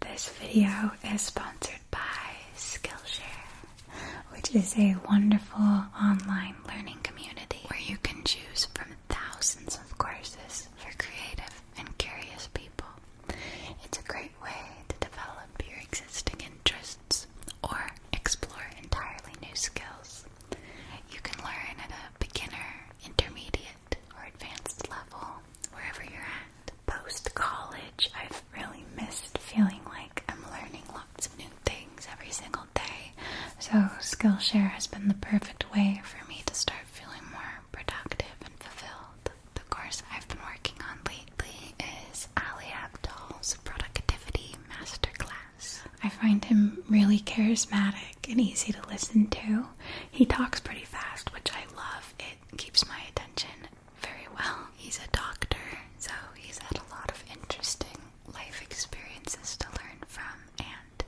This video is sponsored by Skillshare, which is a wonderful online learning community where you can choose from thousands of courses for creative and curious people. It's a great way to develop your existing interests or explore entirely new skills. You can learn at a beginner, intermediate, or advanced level, wherever you're at. Post college, I've really missed feeling like I'm learning lots of new things every single day. So, Skillshare has been the perfect way for me to start feeling more productive and fulfilled. The course I've been working on lately is Ali Abdal's Productivity Masterclass. I find him really charismatic and easy to listen to. He talks pretty fast, which I love keeps my attention very well. He's a doctor, so he's had a lot of interesting life experiences to learn from and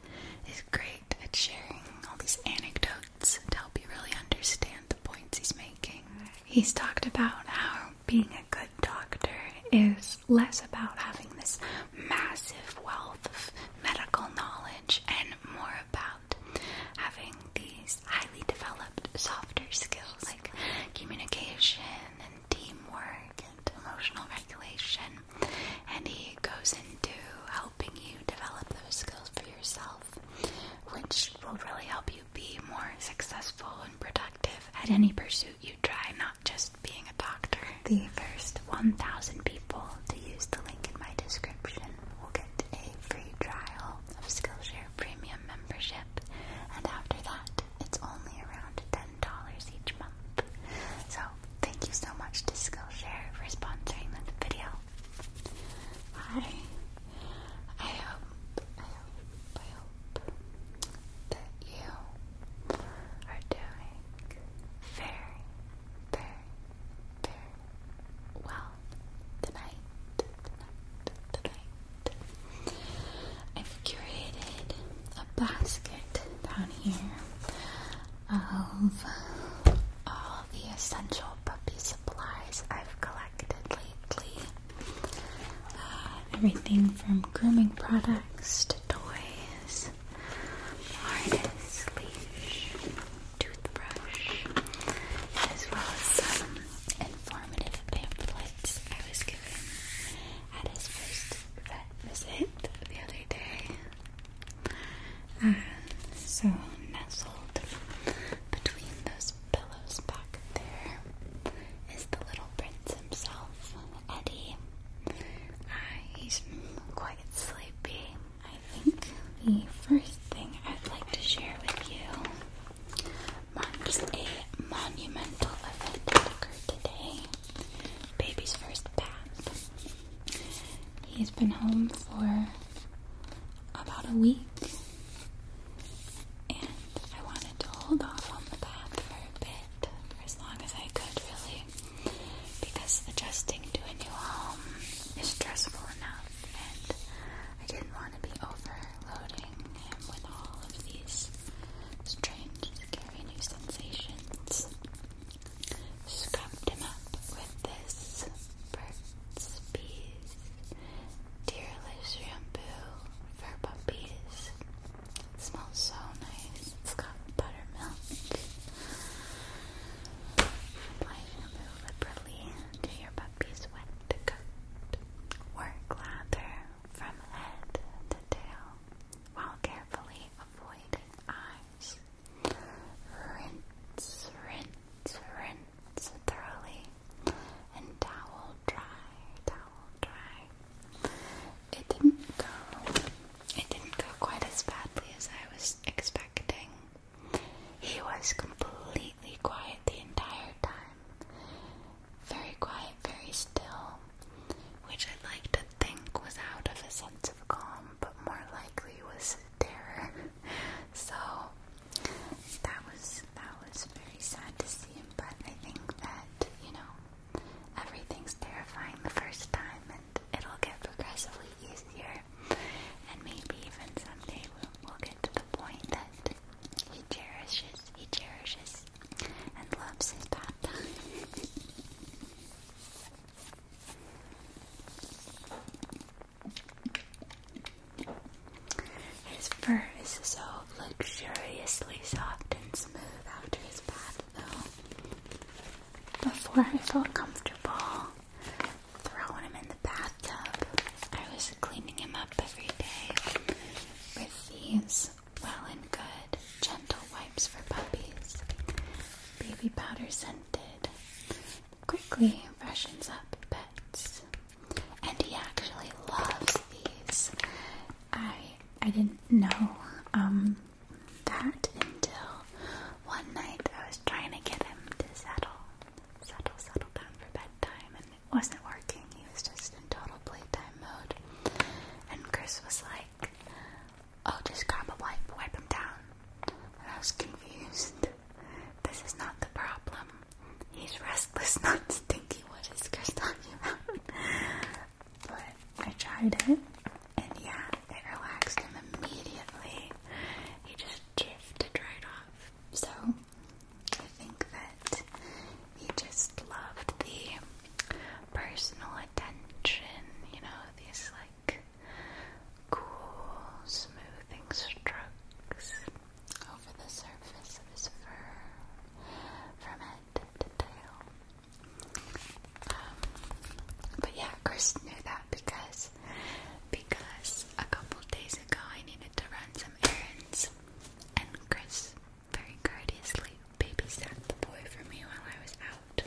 is great at sharing all these anecdotes to help you really understand the points he's making. He's talked about how being a good doctor is less about having this massive wealth of medical knowledge and more about having these highly developed softer skills like communication and teamwork and emotional regulation. And he goes into helping you develop those skills for yourself, which will really help you be more successful and productive at any pursuit you try, not just being a doctor. The first 1,000 people people to use the link in my description will get a free trial of Skillshare Premium membership, and after that, it's only around $10 each month. So, thank you so much to Skillshare for sponsoring the video. Hi. I hope, I hope, I hope that you are doing very, very, very well the night, the I've curated a basket down here of all the essential puppy supplies I've collected lately. Uh, everything from grooming products to toys, harness, leash, toothbrush, as well as some informative pamphlets I was given at his first vet visit the other day. Uh, so, nestled between those pillows back there is the little prince himself, Eddie. Uh, he's quite sleepy. I I think the first thing I'd like to share with you marks a monumental event that today. Baby's first bath. He's been home for about a week, and I wanted to hold off on the bath for a bit, for as long as I could, really because adjusting to a new home is stressful enough, and I didn't want to be overloading him with all of these strange, scary new sensations. Scrubbed him up with this Burt's Bees Tearless Shampoo for Puppies. smells so nice. It's got buttermilk Apply liberally to your puppy's wet coat. Work lather from head to tail while carefully avoiding eyes. Rinse, rinse, rinse thoroughly and towel dry, towel dry. It didn't go. It didn't go quite as badly as I was expecting. He was completely quiet the entire time. Very quiet, very still, which I'd like to think was out of a sense of calm, but more likely was terror. so that was that was very sad to see him, but I think that, you know, everything's terrifying the first time and it'll get progressively easier and maybe even someday we'll, get to the point that he cherishes, he cherishes, and loves his papa. His fur is so luxuriously soft and smooth after his bath, though. That's Before I felt comfortable throwing him in the bathtub. I was cleaning him up every day with these well and good gentle wipes for puppies. Baby powder scented. Quickly freshens up pets. And he actually loves these. I I didn't know um, that until one night I was trying to get him to settle, settle, settle down for bedtime, and it wasn't working. He was just in total playtime mode. And Chris was like, "I'll oh, just grab a wipe, wipe him down. And I was confused. This is not the problem. He's restless, not stinky. What is Chris talking about? but I tried it, and yeah, it relaxed him immediately. He just drifted right off. So I think that he just loved the personal attention, you know, these like cool, smoothing strokes over the surface of his fur from head to tail. Um, but yeah, Chris knew that because because a couple days ago I needed to run some errands, and Chris very courteously babysat the boy for me while I was out.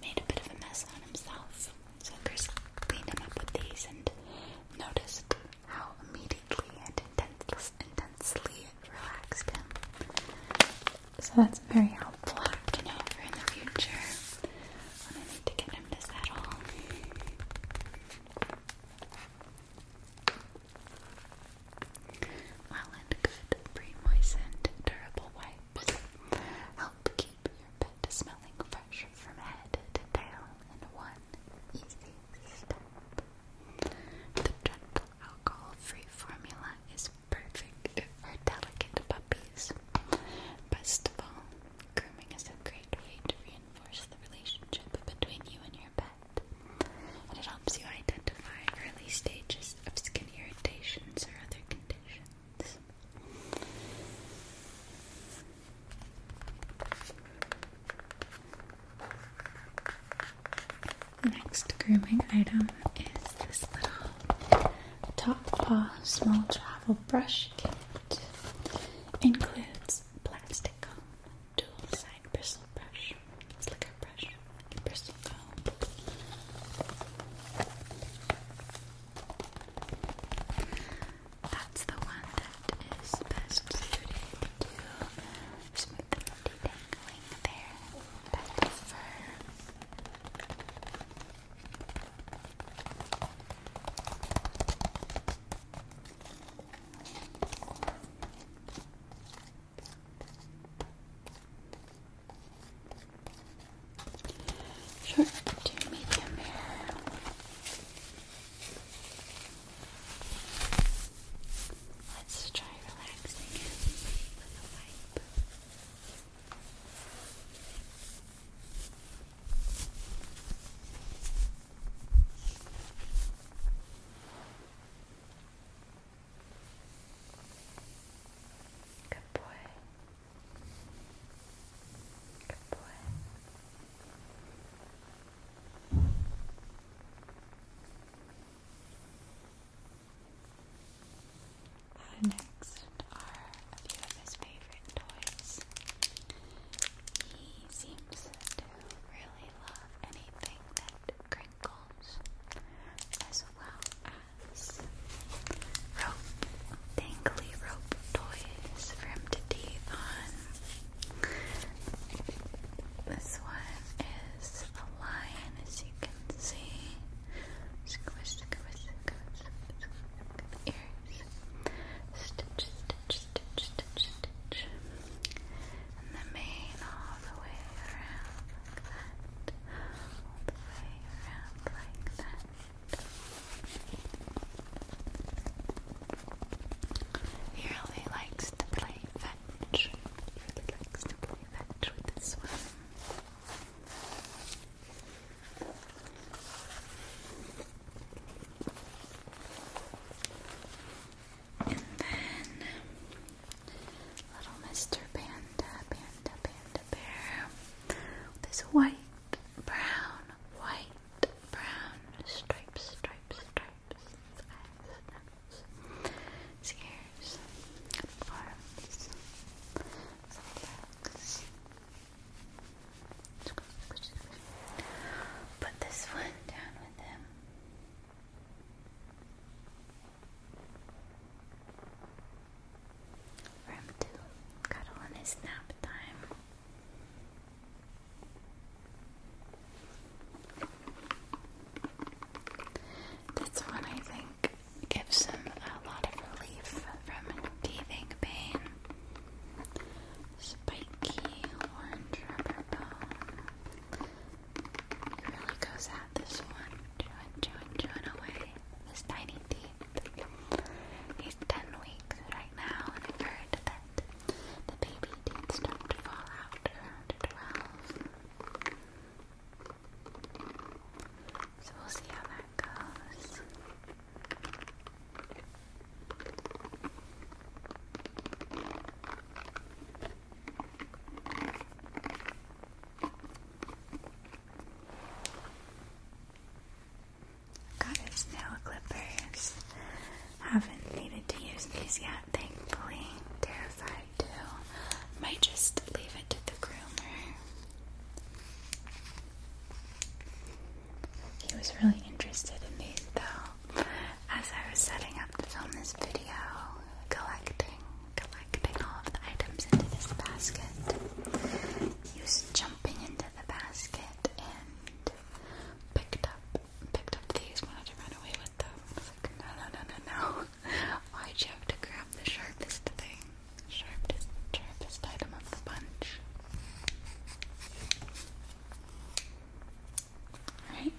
Made a bit of a mess on himself, so Chris cleaned him up with these and noticed how immediately and intensely relaxed him. So that's very helpful. I can help in the future I need to get him to settle. Well good pre-moistened durable wipes help keep your pet smelling fresh from head to tail in one easy step. The gentle alcohol-free formula is perfect for delicate puppies. Best of all, grooming is a great way to reinforce the relationship between you and your pet. And it helps you identify early stages of skin irritations or other conditions. Next grooming item is this little top paw small travel brush kit includes plastic comb, dual side bristle brush, slicker brush, bristle comb. That's the one that is best suited to smooth and detangling there. Short to medium hair. Let's try relaxing it with a wipe. Good boy. Good boy. Next are a few of his favorite toys. He seems to really love anything that crinkles, as well as rope, dangly rope toys for him to teeth on. This one is a lion, as you can see. Stitch, stitch, stitch, stitch, stitch. the mane all the way around All the way around like that. He really likes to play fetch. He really likes to play fetch with this one. And then little Mr. Panda, Panda, Panda Bear. This white, brown, white, brown stripes, stripes, stripes. Eyes, nose ears, good forms. Put this one down with him. For him cuddle in his nap time. That's one I think gives them a lot of relief from teething pain. Spiky orange rubber bone. He really goes at this one, chewing, chewing, chewing away his tiny teeth. He's 10 weeks right now, and i heard that the baby teeth start to fall out around 12. So we'll see how that goes. Got his nail clippers. Haven't needed to use these yet, thankfully. Terrified might just leave it to the groomer. He was really interested in these though. As I was setting up to film this video, collecting, collecting all of the items into this basket. He was jumping into the basket and picked up, picked up these, wanted to run away with them. I was like, no, no, no, no, no. Why'd you have to grab the sharpest thing? Sharpest, sharpest item of the bunch. Right.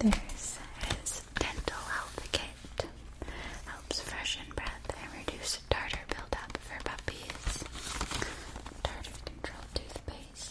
then there's his dental health kit. Helps freshen breath and reduce tartar buildup for puppies. Tartar control toothpaste.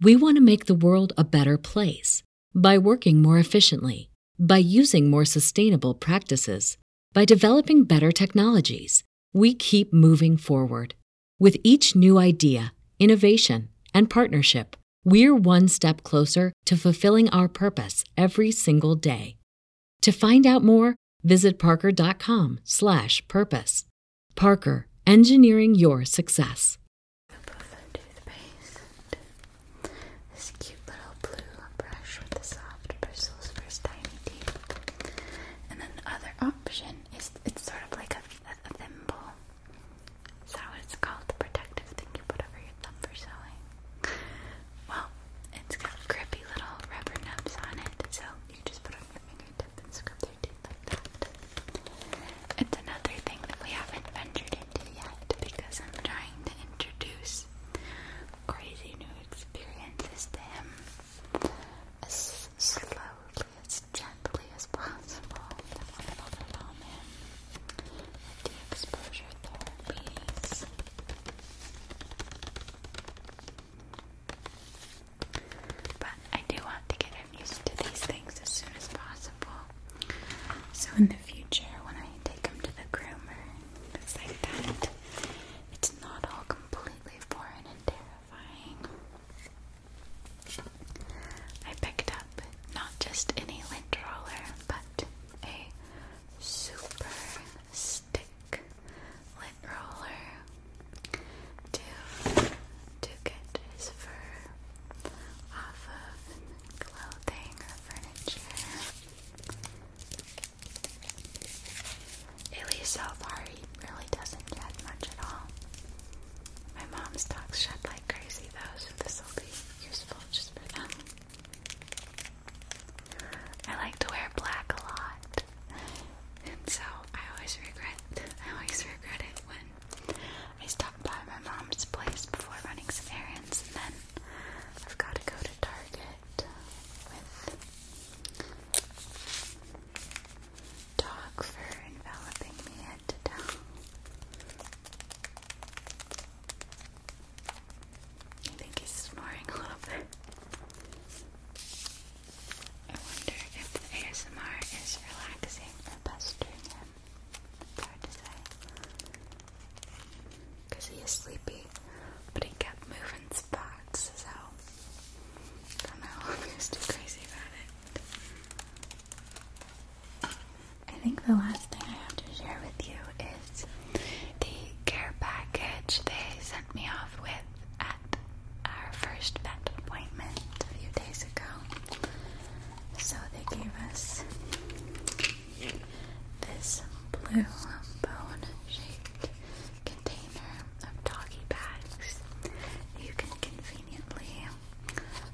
We want to make the world a better place by working more efficiently, by using more sustainable practices, by developing better technologies. We keep moving forward. With each new idea, innovation, and partnership, we're one step closer to fulfilling our purpose every single day. To find out more, visit parker.com/purpose. Parker, engineering your success. This cute little blue brush with the soft bristles for his tiny teeth. And then the other option is it's sort of like a, thimble. Is that what it's called? protective thing you put over your thumb for sewing. Well, it's got grippy little rubber nubs on it, so you just put on your fingertip and scrub it's another thing that we haven't ventured into yet because I'm trying to introduce crazy new experiences to him as slowly, as gently as possible. I don't want the exposure therapies. But I do want to get him used to these things as soon as possible. So in the future, when I take him to the groomer things like that, it's not all completely foreign and terrifying. I picked up not just any lint roller, but a super stick lint roller to to get his fur off of clothing or furniture. At least so far, he really doesn't shed much at all. My mom's dogs shed like crazy though, so this will be useful just for them. I like to wear black a lot, and so I always regret, I always regret it when I stopped by my mom's place before running some errands, and then I've got to go to Target with dog enveloping me head to I think he's snoring a little bit. I wonder if the ASMR is relaxing or pestering him. It's hard to say. Because he is sleepy, but he kept moving spots, so I don't know. He was too crazy about it. I think the last thing I have to share with you is the care package they sent me off with our first vet appointment a few days ago. So they gave us this blue bone shaped container of doggy bags. You can conveniently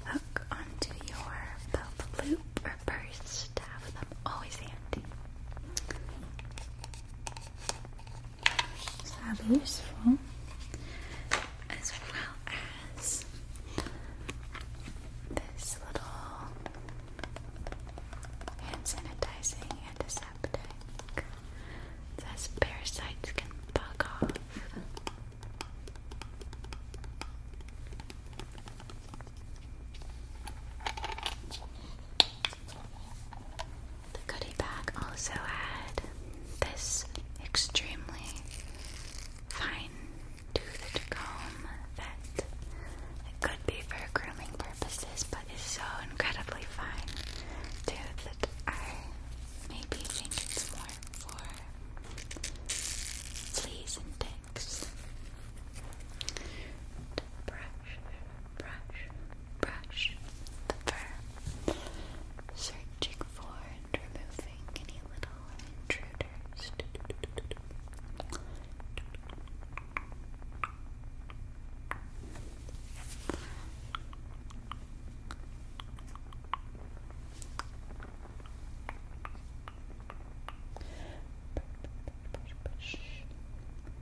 hook onto your belt loop or purse to have them always handy that useful. As well as this little hand sanitizing antiseptic. It says parasites can bug off. The goodie bag also had this extremely fine toothed comb that could be for grooming purposes but is so incredibly fine too that I maybe think it's more for fleas and ticks. Brush, brush, brush the fur, searching for and removing any little intruders. Brush,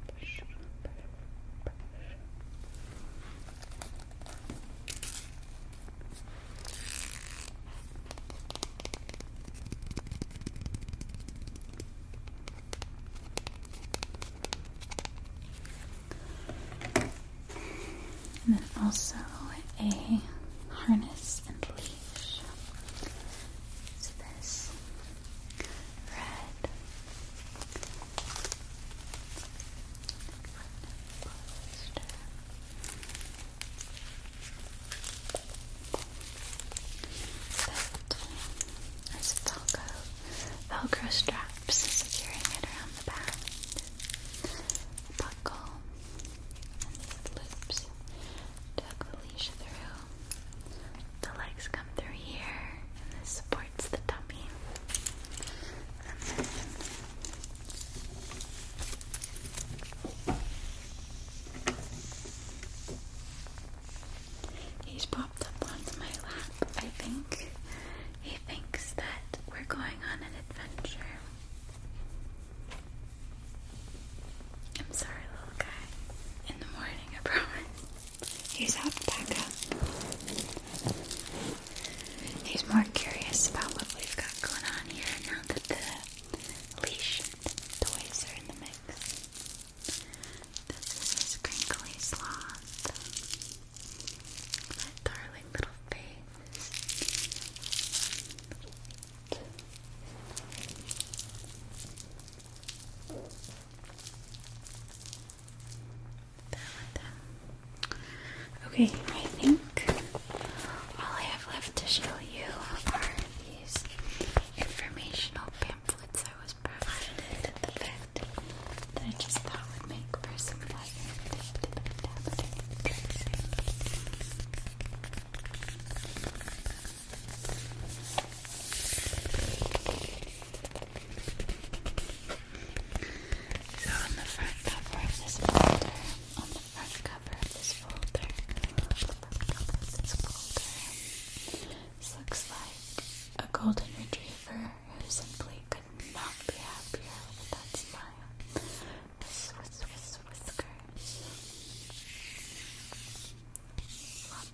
brush, brush, brush, brush, brush, brush, and then also a harness and leash. It's this red that is Velcro, Velcro straps securing it around the back, buckle, and these loops tuck the leash through. The legs come through here, and this supports the tummy he's popped up onto my lap. I think he thinks that we're going on an adventure. I'm sorry, little guy. In the morning, I promise. He's alpaca. He's more curious about what we've got going on here now that the leash toys are in the mix. This is his crinkly sloth. That darling little face. Okay, I think all I have left to show you are these informational pamphlets I was provided at the fact that I just thought would make for some fun. So on the front cover of this folder, on the front cover of this folder, on the front cover of this folder, this looks like a golden retriever who simply could not be happier with that smile. Whisk, whiskers.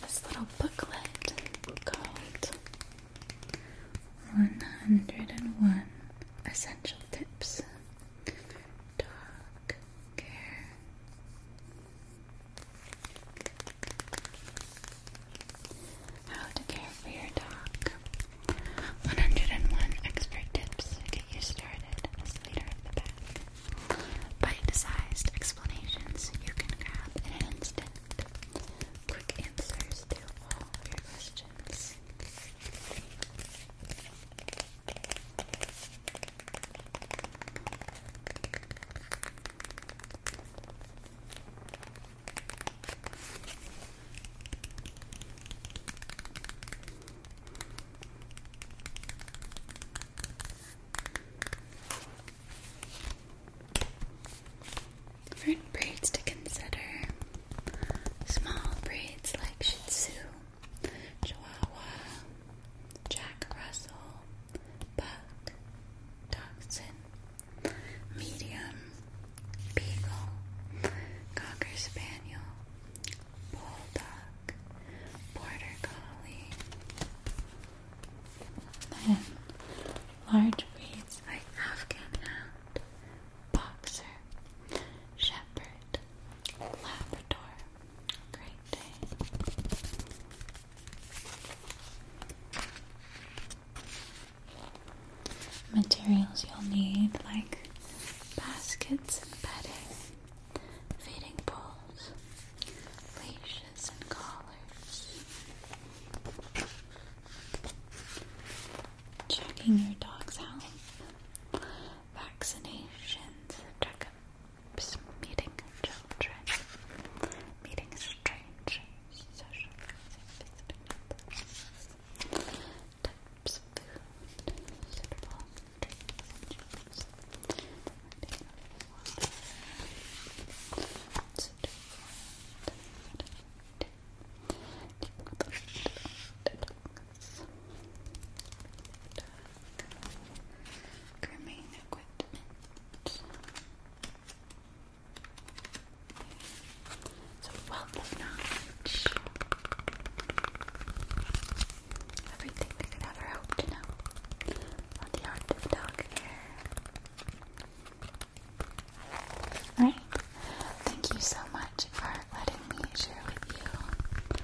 This little booklet called 101 Essential Tips Dog Care. How to care for your dog. 101 expert tips to get you started as leader of the pack. Bite-sized explanations you can grab in an instant. Quick answers to all your questions. Different breeds to consider. Small breeds like Shih Tzu, Chihuahua, Jack Russell, Buck, Dachshund, medium, beagle, cocker spaniel, bulldog, border collie. Then large breeds like Afghan hound, boxer, shepherd, labrador, great dane. Materials you'll need like baskets and bedding, feeding bowls, leashes and collars. Checking your dog's health, vaccinations, checkups, meeting children, meeting strangers social types of food, suitable drinks and water, Grooming it's wealth of knowledge. Everything we could ever hope to know on the art of dog care. Alright, thank you so much for letting me share with you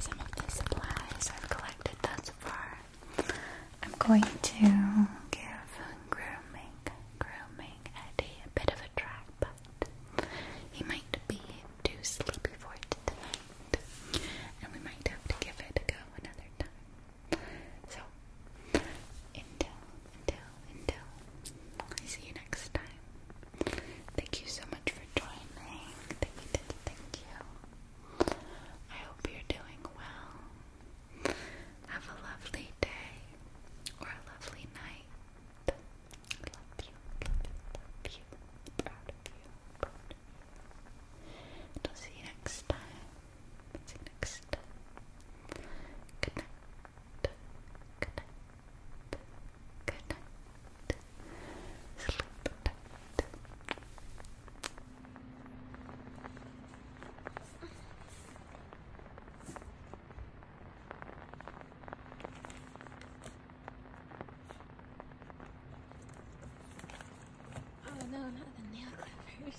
some of the supplies I've collected thus far. I'm going to give grooming, grooming Eddie a bit of a try, but he might be too sleepy for it tonight, and we might have to give it a go another time. So, until, until, until I see you next time. Thank you so much for joining. Thank you, thank you. I hope you're doing well. Have a lovely day or a lovely night. I love you, love love you. proud of you, proud of will see you next time. See you next Good night. Good night. Good night. Sleep tight. Oh, no, not the nail clippers.